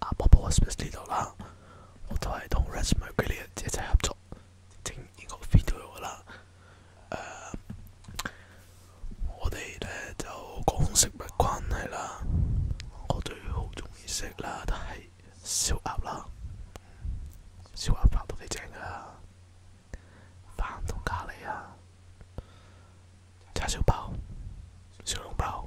啊婆婆 especially 度啦，我都係同 Resmo 佢哋一齊合作整呢個 video 噶啦。誒、uh,，我哋咧就講食物關係啦，我對好中意食啦，但係燒鴨啦，燒鴨飯都幾正噶啦，飯同咖喱啊，叉燒包、小籠包。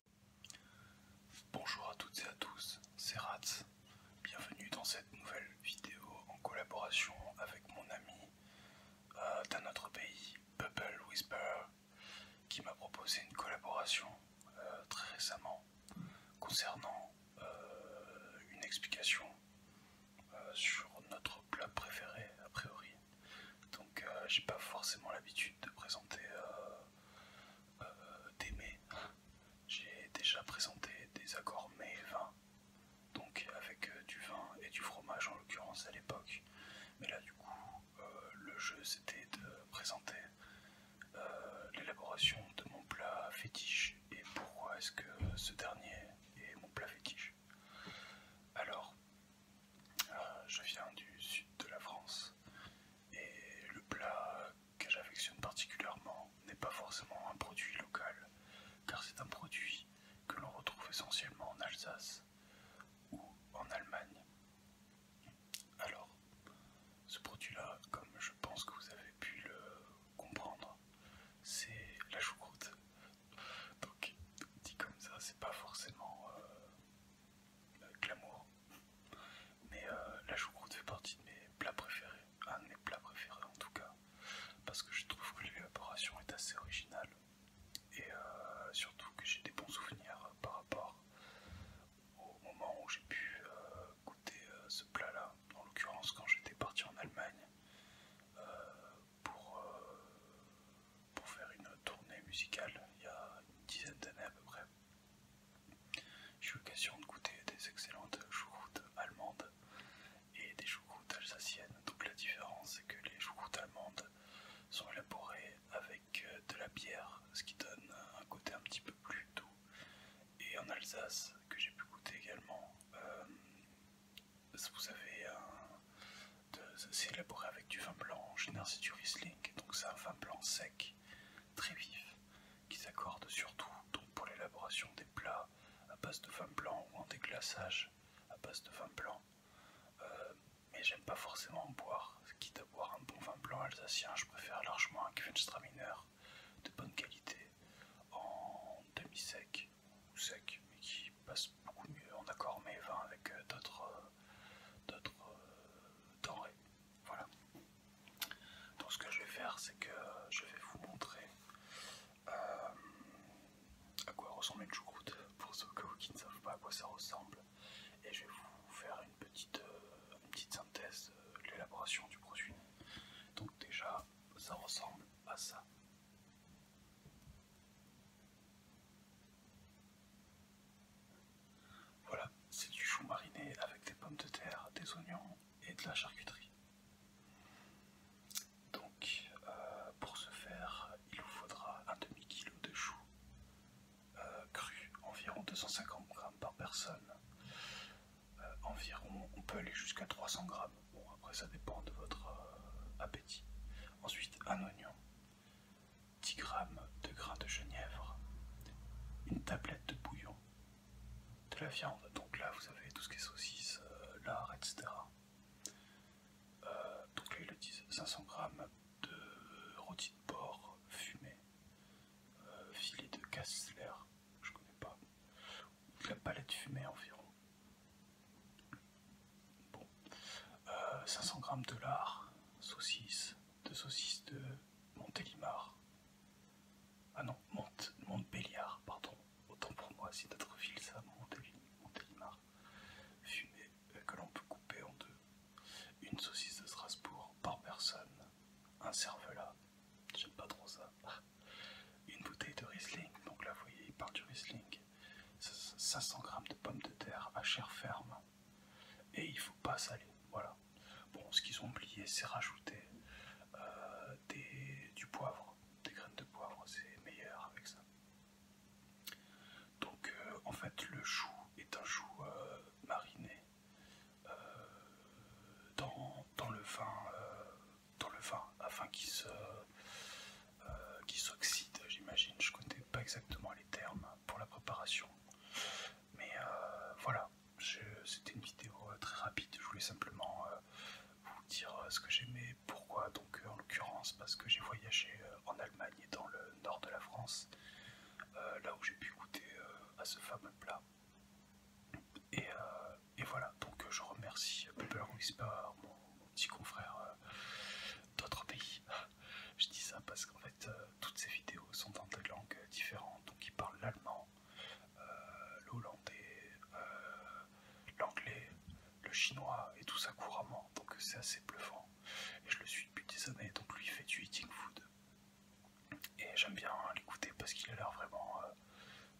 Bonjour à toutes et à tous, c'est Ratz. Bienvenue dans cette nouvelle vidéo en collaboration avec mon ami euh, d'un autre pays, Bubble Whisper, qui m'a proposé une collaboration euh, très récemment concernant euh, une explication sur notre plat préféré, a priori, donc euh, j'ai pas forcément l'habitude de présenter euh, euh, des mets. J'ai déjà présenté des accords mets et vin, donc avec du vin et du fromage en l'occurrence à l'époque. Mais là du coup le jeu c'était de présenter l'élaboration de mon plat fétiche et pourquoi est-ce que ce dernier est mon plat fétiche. Alors euh, je viens du sud de la France et le plat que j'affectionne particulièrement n'est pas forcément un produit local, car c'est un produit que l'on retrouve essentiellement en Alsace ou en Allemagne. Alors, ce produit-là, comme je pense que vous avez pu le comprendre, c'est la choucroute. Donc, dit comme ça, c'est pas forcément euh, glamour. Mais euh, la choucroute fait partie de mes plats préférés, un de mes plats préférés en tout cas, parce que je trouve que l'élaboration est assez originale et euh, surtout que j'ai des bons souvenirs par rapport au moment où j'ai pu goûter ce plat là, en l'occurrence quand j'étais parti en Allemagne, pour, euh, pour faire une tournée musicale il y a une dizaine d'années à peu près. J'ai eu l'occasion de goûter des excellentes choucroutes allemandes et des choucroutes alsaciennes. Donc la différence c'est que les choucroutes allemandes sont élaborées avec euh, de la bière, ce qui donne un côté un petit peu plus doux. Et en Alsace, que j'ai pu goûter également, euh, vous avez c'est élaboré avec du vin blanc, en général c'est du Riesling, donc c'est un vin blanc sec, très vif, qui s'accorde surtout pour l'élaboration des plats à base de vin blanc ou en déglaçage à base de vin blanc. Euh, mais j'aime pas forcément en boire, quitte à boire un bon vin blanc alsacien, je préfère largement un mineur de bonne qualité en demi-sec ou sec, mais qui passe beaucoup mieux en accord mais vin avec euh, d'autres euh, euh, denrées. Voilà. Donc ce que je vais faire, c'est que je vais vous montrer à quoi ressemble une choucroute pour ceux qui ne savent pas à quoi ça ressemble, et je vais vous faire une petite, petite synthèse de l'élaboration du produit. Donc déjà, ça, ressemble à ça. Voilà, c'est du chou mariné avec des pommes de terre, des oignons et de la charcuterie. Donc, euh, pour ce faire, il vous faudra un demi-kilo de chou euh, cru, environ 250 grammes par personne, euh, environ, on peut aller jusqu'à 300 grammes. Bon, après, ça dépend de votre euh, appétit. Ensuite, un oignon, 10 g de grains de genièvre, une tablette de bouillon, de la viande. Donc là, vous avez tout ce qui est saucisse, euh, lard, etc. donc là, le 500 grammes de rôti de porc fumé, filet de cassler, je connais pas, de la palette fumée environ. Bon, 500 euh, grammes de lard, saucisse, de saucisse de Montélimar. Ah non, Mont Montbéliard, pardon, autant pour moi, c'est d'autres villes ça, Montélimar. Fumée euh, que l'on peut couper en deux. Une saucisse de Strasbourg par personne, un cervelat, J'aime pas trop ça. Une bouteille de Riesling, donc là vous voyez, il parle du Riesling. 500 g de pommes de terre à chair ferme. Et il faut pas saler. Voilà. Bon, ce qu'ils ont oublié, c'est rajouter euh, du poivre, des graines de poivre, c'est meilleur avec ça. Donc euh, en fait, le chou est un chou euh, mariné euh, dans, le vin, euh, dans le afin qu'il se, euh, s'oxyde, j'imagine. Je ne connais pas exactement les termes pour la préparation. Mais voilà, c'était une vidéo très rapide. Je voulais simplement vous dire ce que j'aimais, pourquoi. Donc, en l'occurrence, parce que j'ai voyagé en Allemagne et dans le nord de la France. Euh, là où j'ai pu goûter euh, à ce fameux plat. Et, euh, voilà, donc je remercie Pepper Whisper, mon, petit confrère d'autres pays. je dis ça parce qu'en fait, toutes ces vidéos sont dans des langues différentes, donc il parle l'allemand, l'hollandais, l'anglais, le chinois, et tout ça couramment, donc c'est assez bluffant. Et je le suis depuis des années, donc lui fait du eating food, et j'aime bien l'écouter parce qu'il a l'air vraiment euh,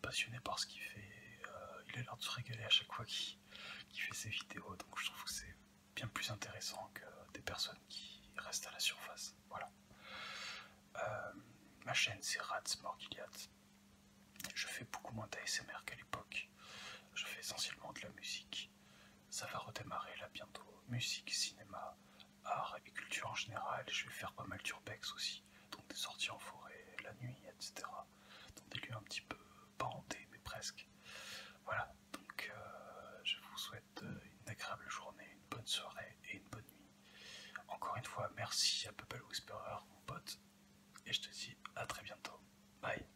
passionné par ce qu'il fait. Euh, il a l'air de se régaler à chaque fois qu'il fait ses vidéos. Donc je trouve que c'est bien plus intéressant que des personnes qui restent à la surface. Voilà. Euh, ma chaîne c'est Rats Morgiliat. Je fais beaucoup moins d'ASMR qu'à l'époque. Je fais essentiellement de la musique ça va redémarrer là bientôt. Musique, cinéma, art et culture en général. Je vais faire pas mal d'urbex aussi, donc des sorties en forêt, la nuit, etc. Dans des lieux un petit peu pas mais presque. Voilà, donc euh, je vous souhaite euh, une agréable journée, une bonne soirée et une bonne nuit. Encore une fois, merci à Pebble Whisperer, mon pote, et je te dis à très bientôt. Bye